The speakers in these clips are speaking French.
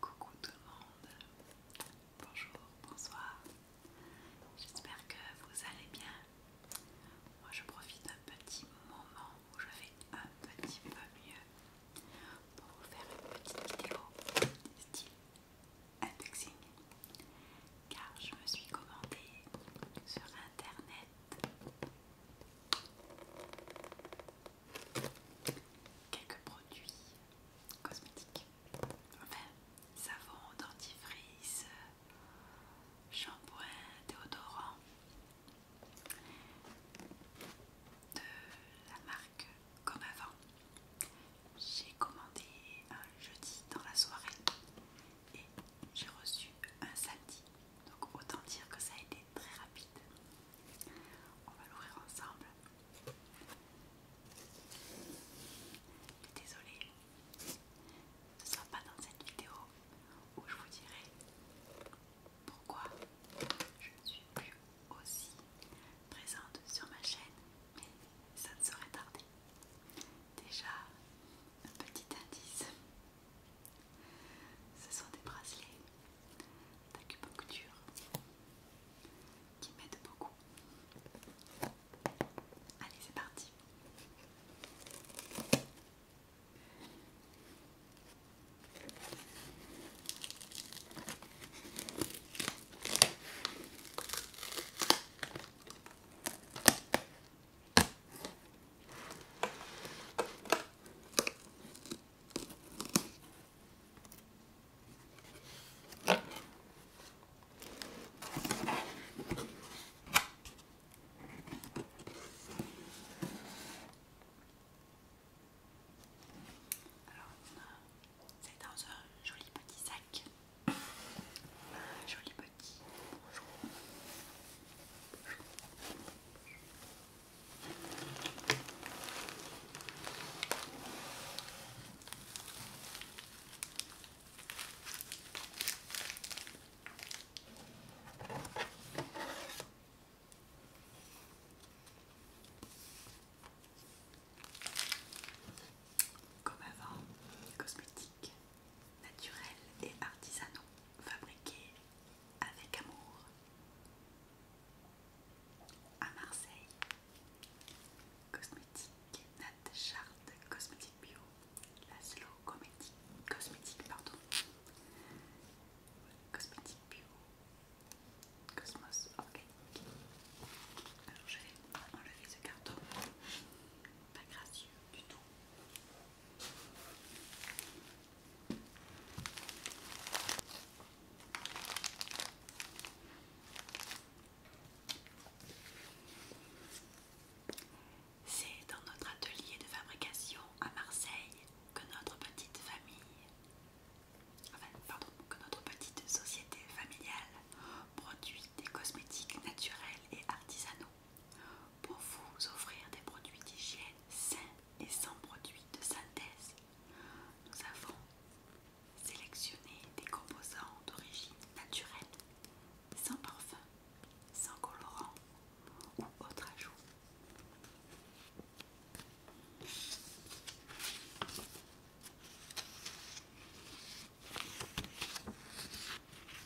Coucou tout le monde, bonjour, bonsoir, j'espère que vous allez bien. Moi je profite d'un petit moment où je vais un petit peu mieux pour vous faire une petite vidéo style unboxing car je me suis commandée sur internet Quelques produits cosmétiques, enfin savon, dentifrice, shampoing, déodorant de la marque Comme Avant. J'ai commandé un jeudi dans la soirée et j'ai reçu un samedi. Donc autant dire que ça a été très rapide. On va l'ouvrir ensemble. Désolée, ce sera pas dans cette vidéo où je vous dirai pourquoi je ne suis plus aussi présente sur ma chaîne, mais ça ne serait tarder. Déjà, un petit indice ce sont des bracelets d'acupuncture qui m'aident beaucoup. Allez, c'est parti! Alors, c'est dans un joli petit sac. Un joli petit bonjour. Comme avant, les cosmétiques naturel et artisanaux, fabriqués avec amour. À Marseille, Cosmétique Nate Charte Cosmétique Bio, Laszlo Cosmétiques, cosmétique pardon, Cosmétique Bio, Cosmos Ok. Alors je vais enlever ce carton, pas gracieux. C'est dans notre atelier de fabrication à Marseille que notre petite famille, enfin, pardon, que notre petite société familiale Produits des cosmétiques naturels et artisanaux pour vous offrir des produits d'hygiène sains et sans produits de synthèse. Nous avons sélectionné des composants d'origine naturelle, sans parfum, sans colorant ou autre ajout.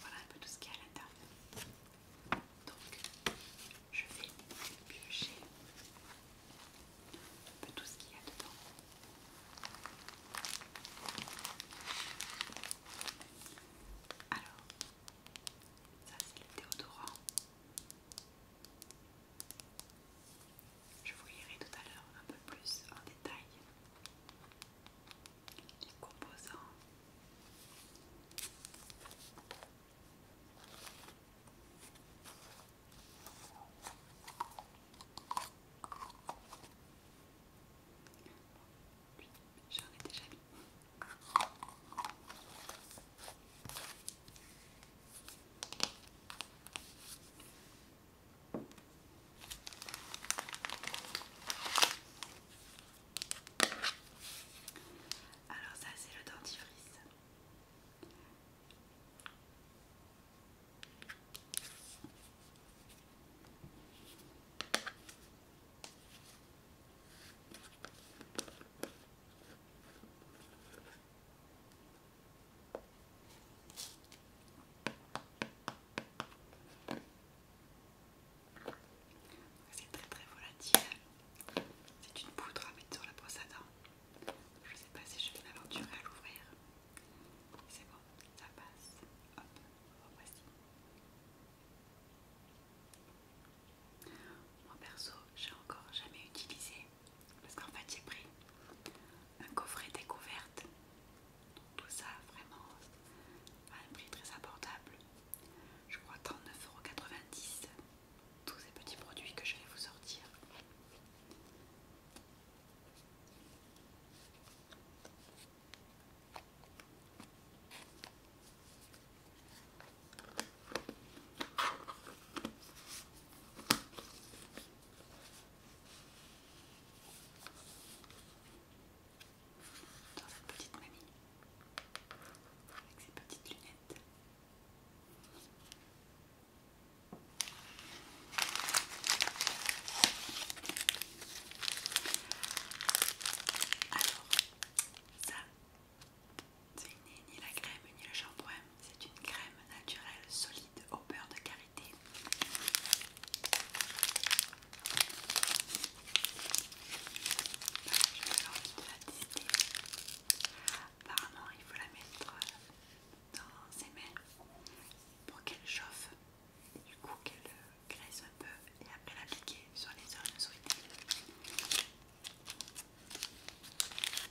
Voilà un peu tout ce qu'il y a à l'intérieur. Donc, je vais piocher un peu tout ce qu'il y a dedans. Alors, ça c'est le déodorant. Je vous lirai tout à l'heure un peu plus en détail les composants. j'en ai déjà mis. Alors ça c'est le dentifrice. C'est très très volatile. C'est une poudre à mettre sur la brosse à dents. Je ne sais pas si je vais m'aventurer à l'ouvrir. C'est bon, ça passe. Hop, voici. Moi perso, j'ai encore jamais utilisé parce qu'en fait j'ai pris un coffret découverte tout ça vraiment à un prix très abordable. Je crois 39,90€ tous ces petits produits que je vais vous sortir. Dans cette petite mamie, avec ses petites lunettes. Alors, ça, c'est ni la crème ni le shampoing, c'est une crème naturel solide au beurre de karité. de la tester. Apparemment, il faut la mettre dans ses mains pour qu'elle chauffe, du coup qu'elle graisse un peu et après l'appliquer sur les zones souhaitées.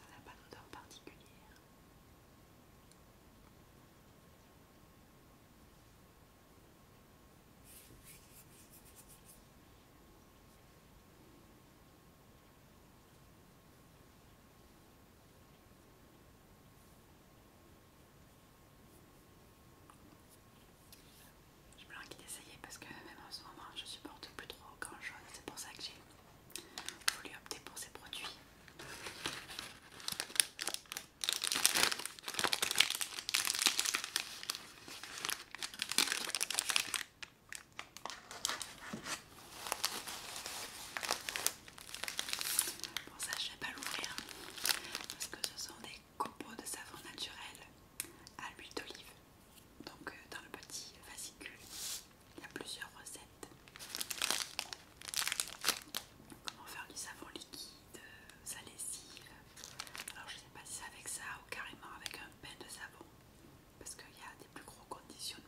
Ça n'a pas d'odeur particulière. Je me d'essayer parce que même en ce moment je supporte plus trop grand jaune, c'est pour ça que j'ai voulu opter pour ces produits. Bon ça je vais pas l'ouvrir parce que ce sont des copeaux de savon naturel à l'huile d'olive. Donc euh, dans le petit fascicule, il y a plusieurs recettes. Comment faire du savon liquide de sa euh, Alors je sais pas si c'est avec ça ou carrément avec un pain de savon parce qu'il y a des plus gros conditionnements.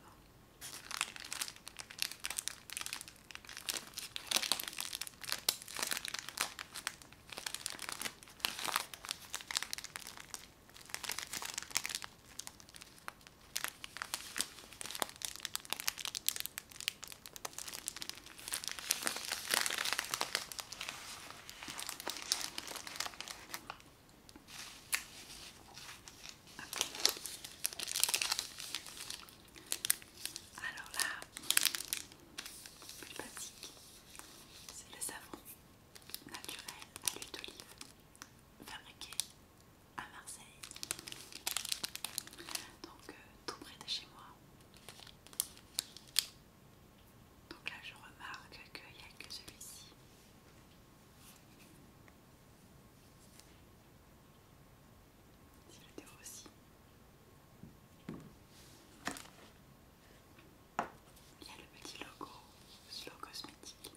Alors là, plus basique, c'est le savon naturel à l'huile d'olive fabriqué à Marseille. Donc euh, tout près de chez moi. Donc là je remarque qu'il n'y a que celui-ci. Il y a le petit logo, slow cosmétique.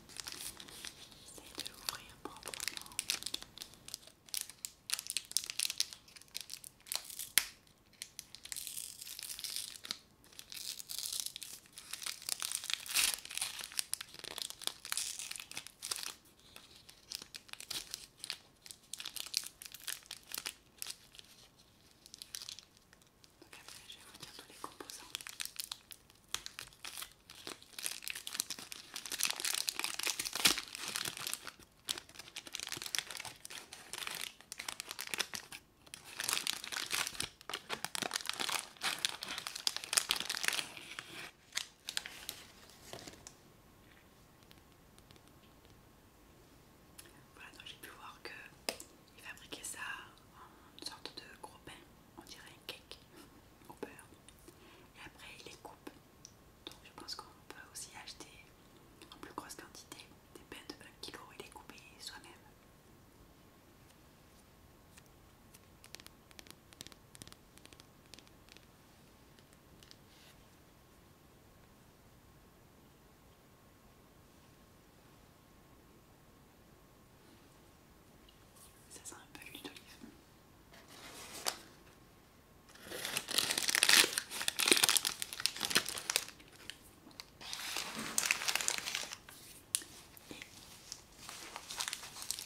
J'essaie de l'ouvrir proprement. Donc après, je vais vous tous les composants donc j'ai pu voir qu'il fabriquait ça en une sorte de gros pain on dirait un cake au beurre. Et après, il les coupe. Donc je pense qu'on peut aussi acheter en plus grosse quantité des pains de 1 kg et les couper soi-même. Ça sent un peu l'huile d'olive.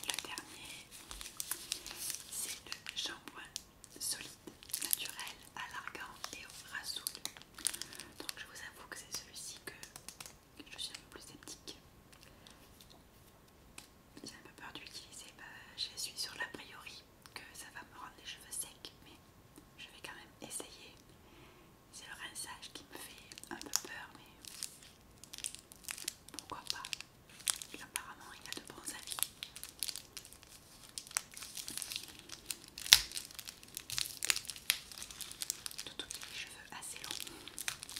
Et le dernier, c'est le shampoing solide, naturel, à l'argan et au rasoul. Donc je vous avoue que c'est celui-ci que je suis un peu plus sceptique. J'ai un peu peur d'utiliser, bah, je suis sur l'a priori que ça va me rendre les cheveux secs, mais je vais quand même essayer. C'est le rinçage qui me fait un peu peur, mais pourquoi pas Apparemment, il y a de bons avis. Tous les cheveux assez longs.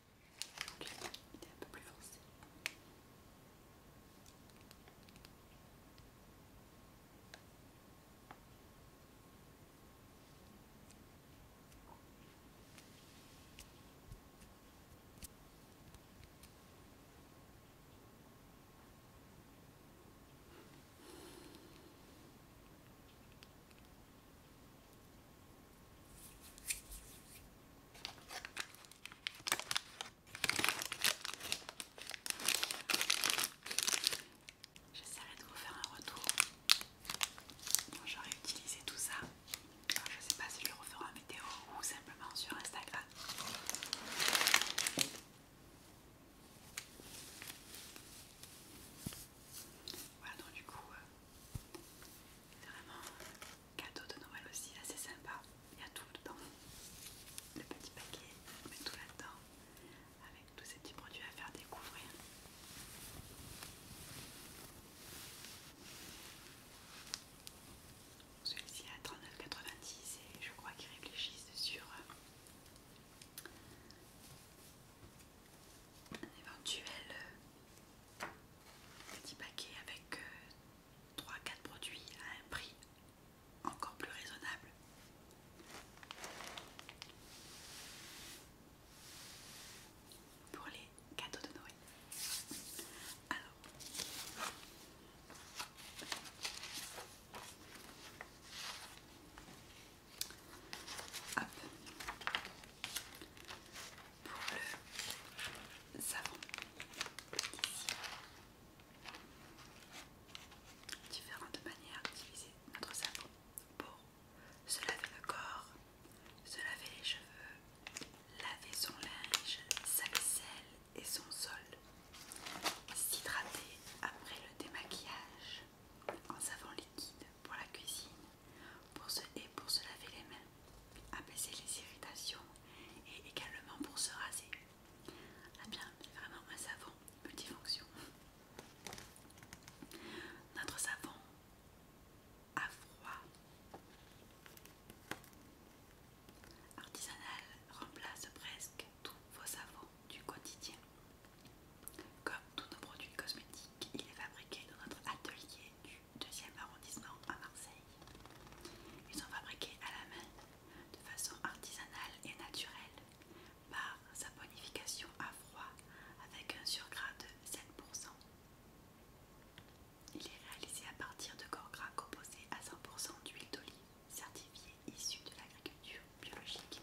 il est un peu plus foncé. J'essaierai de vous faire un retour J'aurais j'aurai utilisé tout ça. je ne sais pas si je le referai en vidéo ou simplement sur Instagram. Voilà, donc du coup, euh, c'est vraiment un cadeau de Noël aussi, assez sympa. Il y a tout dedans, le petit paquet, on met tout là-dedans, avec tous ces petits produits à faire découvrir. Celui-ci à 39,90 et je crois qu'ils réfléchissent sur euh, un éventuel euh, petit paquet avec euh, trois 3-4 produits à un prix encore plus raisonnable. Pour les cadeaux de Noël. Alors, Hop. Pour le savon. Ici. Différentes manières d'utiliser notre savon pour se laver le corps, se laver les cheveux, laver son linge, sa et son sol, s'hydrater après le démaquillage en savon liquide pour la cuisine, pour se, et pour se laver les mains, apaiser les irritations et également pour se raser. Ah bien, c'est vraiment un savon multifonction. Notre savon à froid artisanal remplace presque tous vos savons du quotidien. Comme tous nos produits cosmétiques, il est fabriqué dans notre atelier du 2e arrondissement à Marseille. Ils sont fabriqués à la main, de façon artisanale et naturelle, par saponification à froid avec un surgras de 7%. Il est réalisé à partir de corps gras composés à 100% d'huile d'olive certifiée issue de l'agriculture biologique.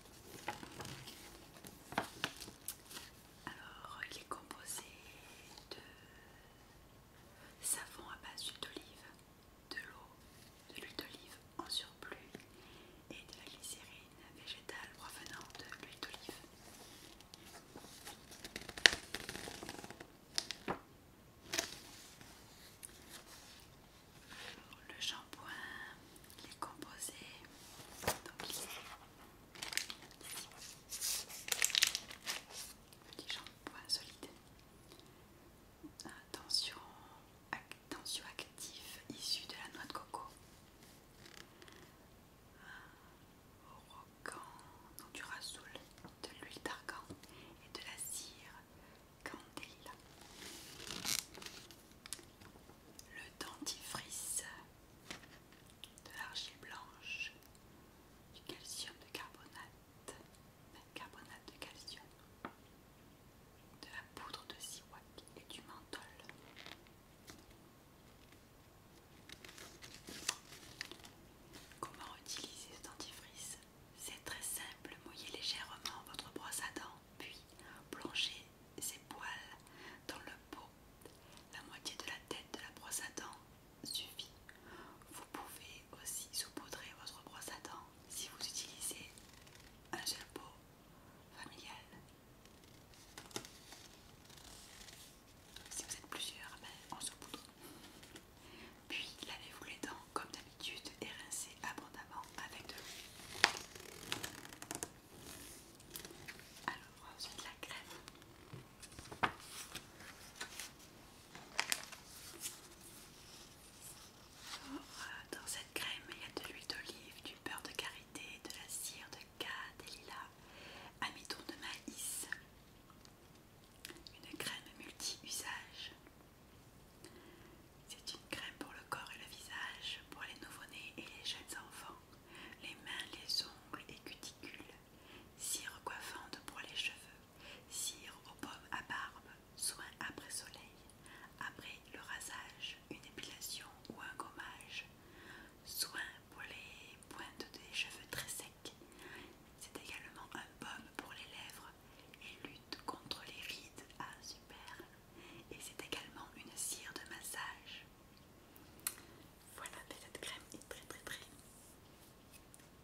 Alors, il est composé de savon à base d'huile d'olive, de l'eau, de l'huile d'olive en surplus et de la glycérine végétale provenant de l'huile d'olive. Le shampoing, il est composé, donc Petit shampoing solide. attention attention actif active de la noix de coco. du rasoul, de l'huile d'argan et de la cire candéla le dentifrice de l'argile blanche, du calcium de carbonate, carbonate de calcium, de la poudre de siwak et du menthol. Comment utiliser ce dentifrice C'est très simple, mouillez légèrement votre brosse à dents, puis plongez ses poils dans le pot. La moitié de la tête de la brosse à dents suffit. Vous pouvez aussi saupoudrer votre brosse à dents si vous utilisez un gel pot familial. Si vous êtes plusieurs, ben, on saupoudre. Puis lavez-vous les dents comme d'habitude et rincez abondamment avec de l'eau. Alors, ensuite la crème. Euh, dans cette crème, il y a de l'huile d'olive, du beurre de karité, de la cire de cade, des lilas, amidon de maïs. Une crème multi-usage. C'est une crème pour le corps et le visage, pour les nouveau-nés et les jeunes enfants, les mains, les ongles et cuticules, cire coiffante pour les cheveux, cire aux pommes à barbe, soin après soleil, après le rasage, une épilation ou un gommage, soin pour les pointes des cheveux très secs. C'est également un pomme pour les lèvres et lutte contre les rides. à ah, super et c'est également une cire de massage. Voilà, cette crème est très très très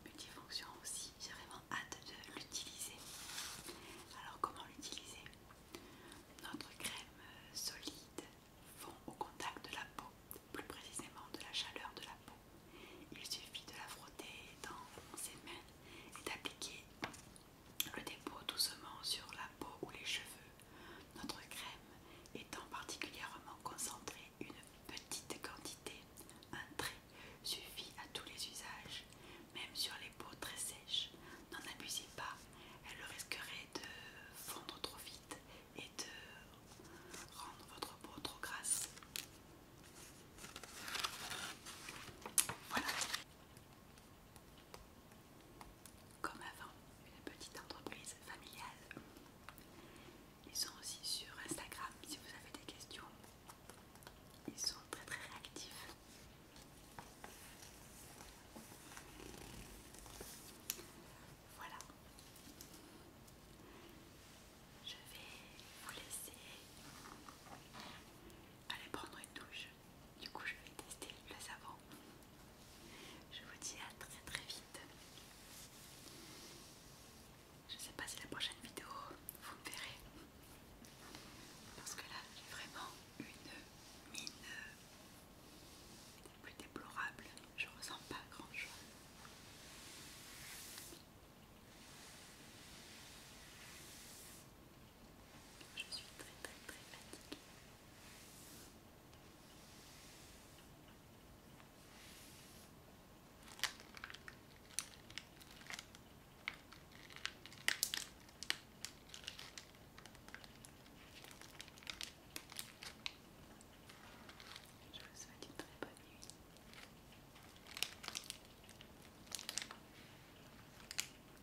multifonction aussi. J'ai vraiment hâte de l'utiliser. Alors comment l'utiliser Notre crème euh, solide fond au contact de la peau, plus précisément de la chaleur de la peau. Il suffit de la frotter dans ses mains et d'appliquer le dépôt doucement sur la peau ou les cheveux. Notre crème étant particulièrement concentrée, une petite quantité, un trait, suffit à tous les usages, même sur les peaux très sèches. N'en abusez pas, elle risquerait de fondre trop vite et de rendre votre peau trop grasse. Voilà. Comme avant, une petite entreprise familiale. Ils sont aussi sur Instagram si vous avez des questions. Ils sont très très réactifs. Voilà. Je vais vous laisser aller prendre une douche. Du coup, je vais tester le savon. Je vous dis à très très vite. Je sais pas si la prochaine vidéo vous me verrez. Parce que là, j'ai vraiment une mine plus déplorable. Je ressens pas grand chose. Je suis très très très fatiguée. Je vous souhaite une très bonne nuit.